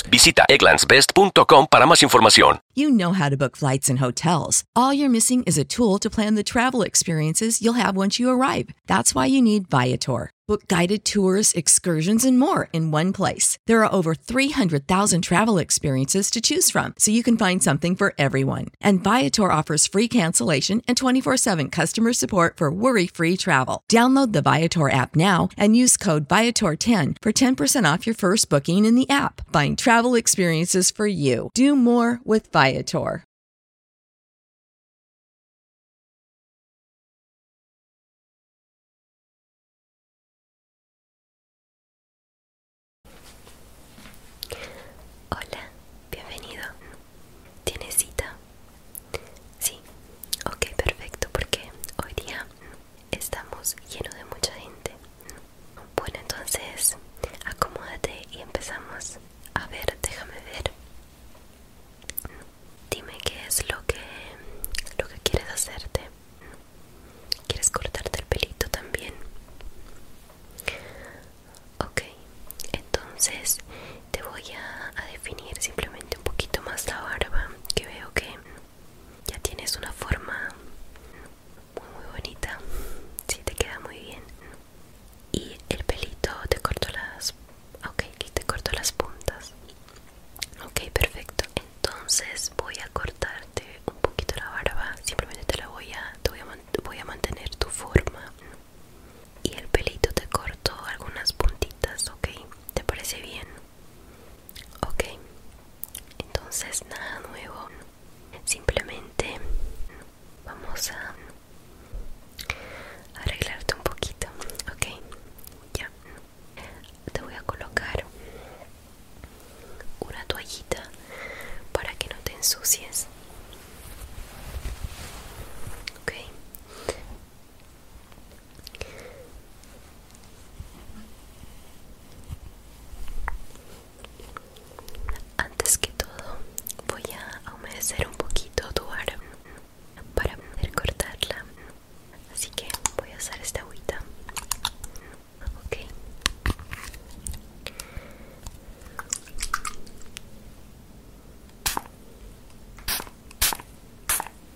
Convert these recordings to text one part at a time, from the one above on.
vuelos. Visita egglandsbest.com para más You know how to book flights and hotels. All you're missing is a tool to plan the travel experiences you'll have once you arrive. That's why you need Viator. Book guided tours, excursions, and more in one place. There are over 300,000 travel experiences to choose from, so you can find something for everyone. And Viator offers free cancellation and 24 7 customer support for worry free travel. Download the Viator app now and use code Viator10 for 10% off your first booking in the app. Find travel experiences for you. Do more with Viator. Hola, bienvenido. ¿Tienes cita? Sí, ok, perfecto, porque hoy día estamos llenos de mucha gente. Bueno, entonces acomódate y empezamos. A ver, déjame ver. Dime qué es lo que, lo que quieres hacerte. ¿Quieres cortarte el pelito también? Ok, entonces te voy a, definir simplemente un poquito más la barba que veo que ya tienes una forma muy, muy bonita si te queda muy bien y el pelito te corto las ok te corto las puntas ok perfecto entonces voy a cortarte un poquito la barba simplemente te la voy a te voy a mantener tu forma y el pelito te corto algunas puntitas, ¿ok? ¿Te parece bien? Ok, entonces nada nuevo, simplemente vamos a arreglarte un poquito, ¿ok? Ya, te voy a colocar una toallita para que no te ensucies ok antes que todo, voy a humedecer un poquito tu para poder cortarla. Así que voy a usar esta agüita. Ok.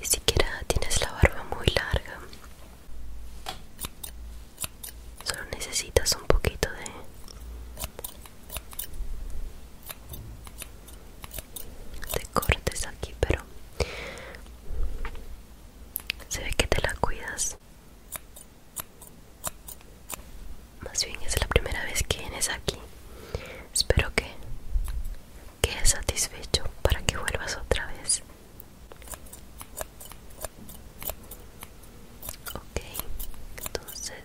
Ni siquiera tienes la barba muy larga. Solo necesitas un poquito de te cortes aquí pero se ve que te la cuidas más bien es la primera vez que vienes aquí espero que quedes satisfecho para que vuelvas otra vez ok entonces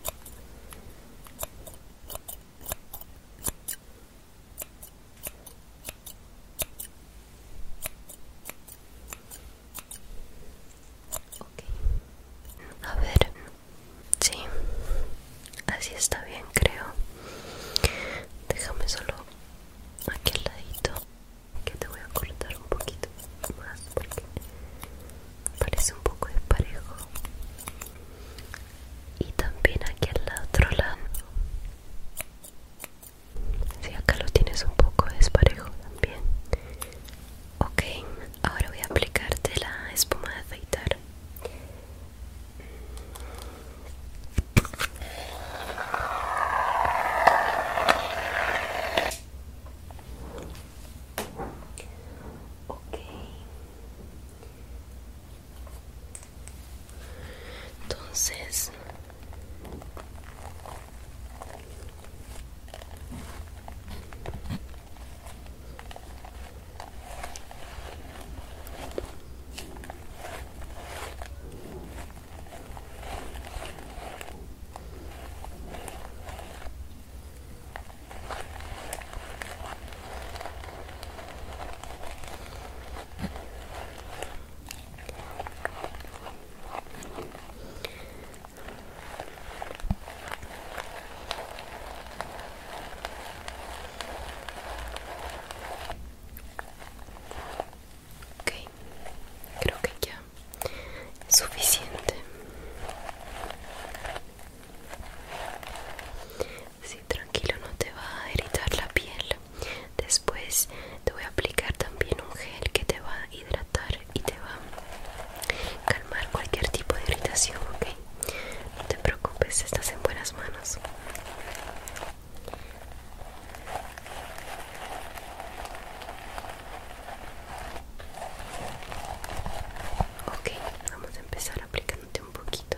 a ver, sí, así está bien, creo. Déjame solo aquí al ladito, que te voy a cortar un poquito más porque parece un poco desparejo y también aquí al otro lado si acá lo tienes un poco desparejo también ok ahora voy a aplicarte la espuma de aceitar Ok, entonces Okay, creo que ya es suficiente. Sí, tranquilo, no te va a irritar la piel. Después te voy a aplicar también un gel que te va a hidratar y te va a calmar cualquier tipo de irritación, ¿ok? No te preocupes, estás en buenas manos. Ok, vamos a empezar aplicándote un poquito.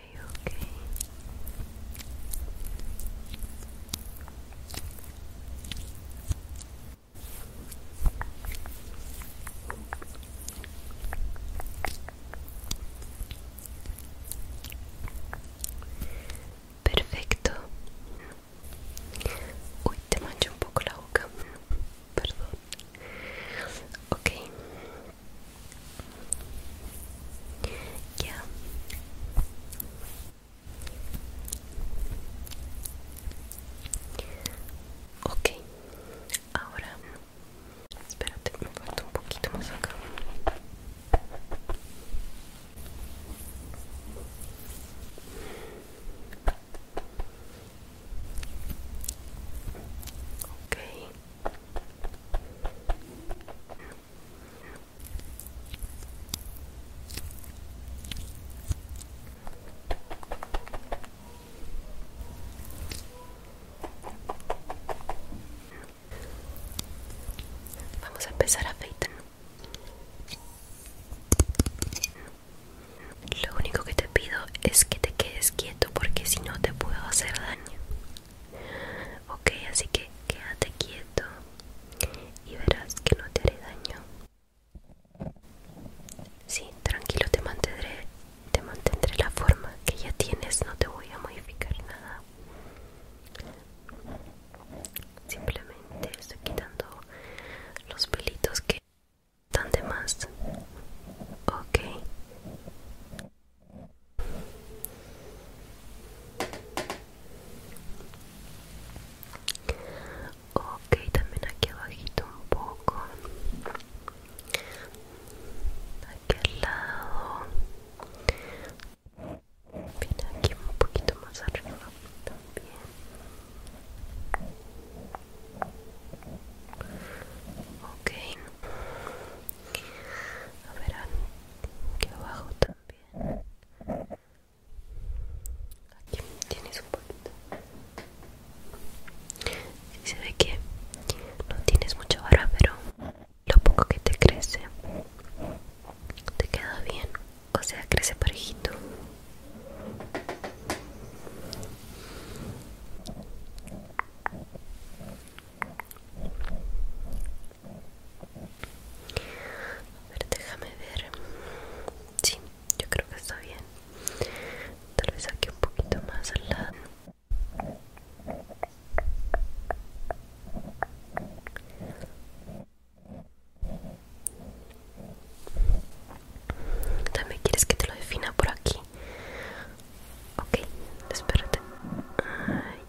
ok Perfecto. Uy, te mancha un poco la boca. Perdón. Ok. Ya. Ok, ahora espérate, me falta un poquito más acá. Ok. Vamos a empezar a afeitar. Lo único que te pido es que te quedes quieto porque si no te puedo hacer daño. Ok, así que quédate quieto y verás que no te haré daño. Sí, tranquilo, te mantendré, te mantendré la forma que ya tienes, no te voy a modificar nada. Simplemente estoy quitando los pelitos que están de más. Ok. Ok, también aquí abajito un poco. Aquí al lado. aquí un poquito más arriba también. Ok. A ver, que abajo también. Aquí tienes un poquito. se ve que no tienes mucha barba, pero lo poco que te crece te queda bien. O sea, crece parejito. A ver, déjame ver. Sí, yo creo que está bien. Tal vez aquí un poquito más al lado. También quieres que te lo defina por aquí Ok, espérate.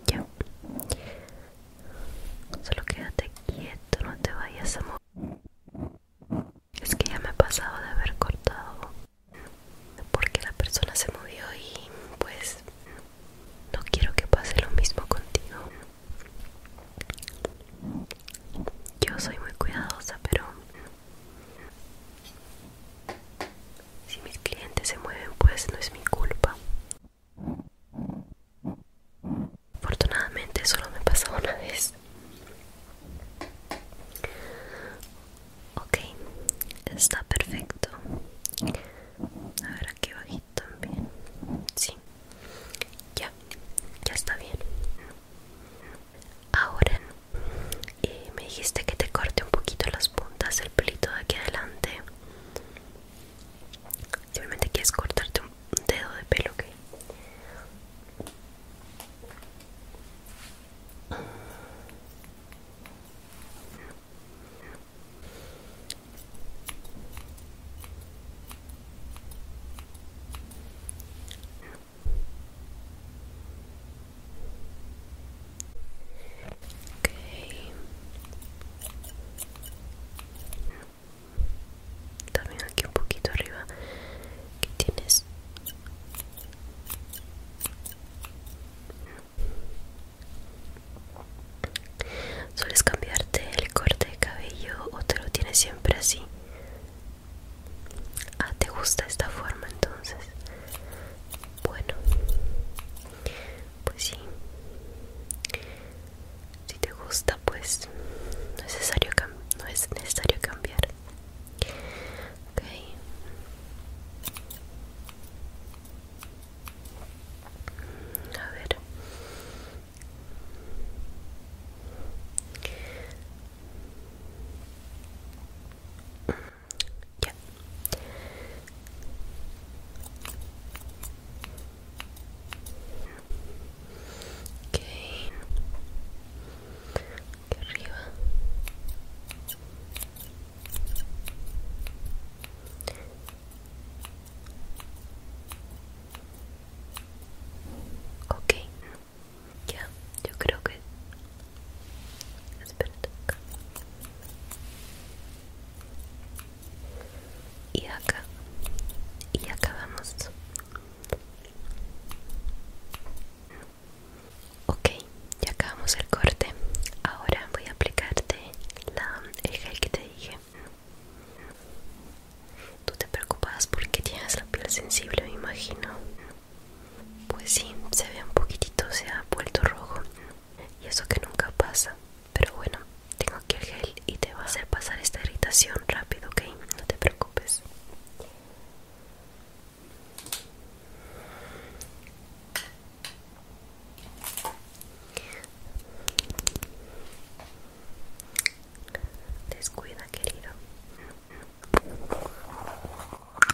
ya. Solo quédate quieto, no te vayas a mover. Es que ya me ha pasado de haber cortado porque la persona se movió y pues no quiero que pase lo mismo contigo. Yo soy muy cuidadosa, pero si mis clientes se mueven, pues no es mi culpa. Afortunadamente solo me pasó una vez. Ok, está perfecto. A ver aquí bajito también. Sí, ya, ya está bien. Ahora y me dijiste que te corte un poquito las puntas el pelito de aquí adelante simplemente quieres cortarte un dedo de pelo Ok Okay. También aquí un poquito arriba ¿Qué tienes ¿Sueles cambiarte el corte de cabello o te lo tienes siempre así? Ah, ¿te gusta esta forma entonces? Pues, bueno, pues sí. Si te gusta, pues no es necesario, no es necesario cambiar. Ok. A ver. Ya. arriba. Ya, yo creo que y acá. Y acabamos Ok, ya acabamos el corte. Ahora voy a aplicarte la, el gel que te dije. Tú te preocupas porque tienes la piel sensible, me imagino. Pues sí, se ve un poquitito, se ha vuelto rojo. Y eso que nunca pasa. Pero bueno, tengo aquí el gel y te va a hacer pasar esta irritación rápido, ¿ok? No te preocupes. Descuida, querido.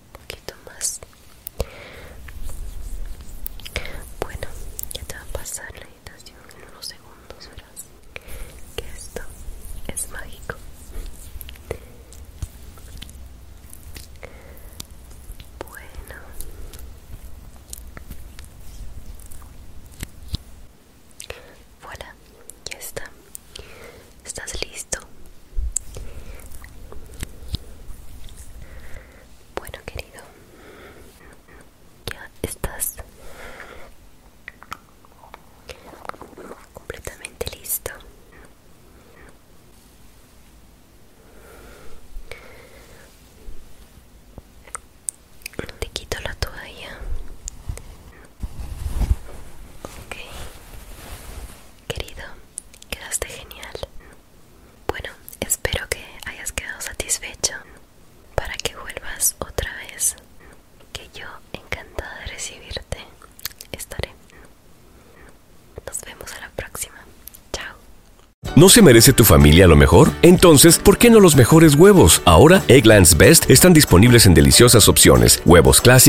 un poquito más bueno ya te va a pasar la meditación en unos segundos verás que esto es mágico bueno voilà ya está ¿Estás listo? Bueno, querido, ya estás completamente listo. Te quito la toalla. Ok. Querido, quedaste genial. Bueno, espero que hayas quedado satisfecho para que vuelvas otra vez. Que yo, encantada de recibirte, estaré. Nos vemos a la próxima. Chao. ¿No se merece tu familia lo mejor? Entonces, ¿por qué no los mejores huevos? Ahora, Egglands Best están disponibles en deliciosas opciones: huevos clásicos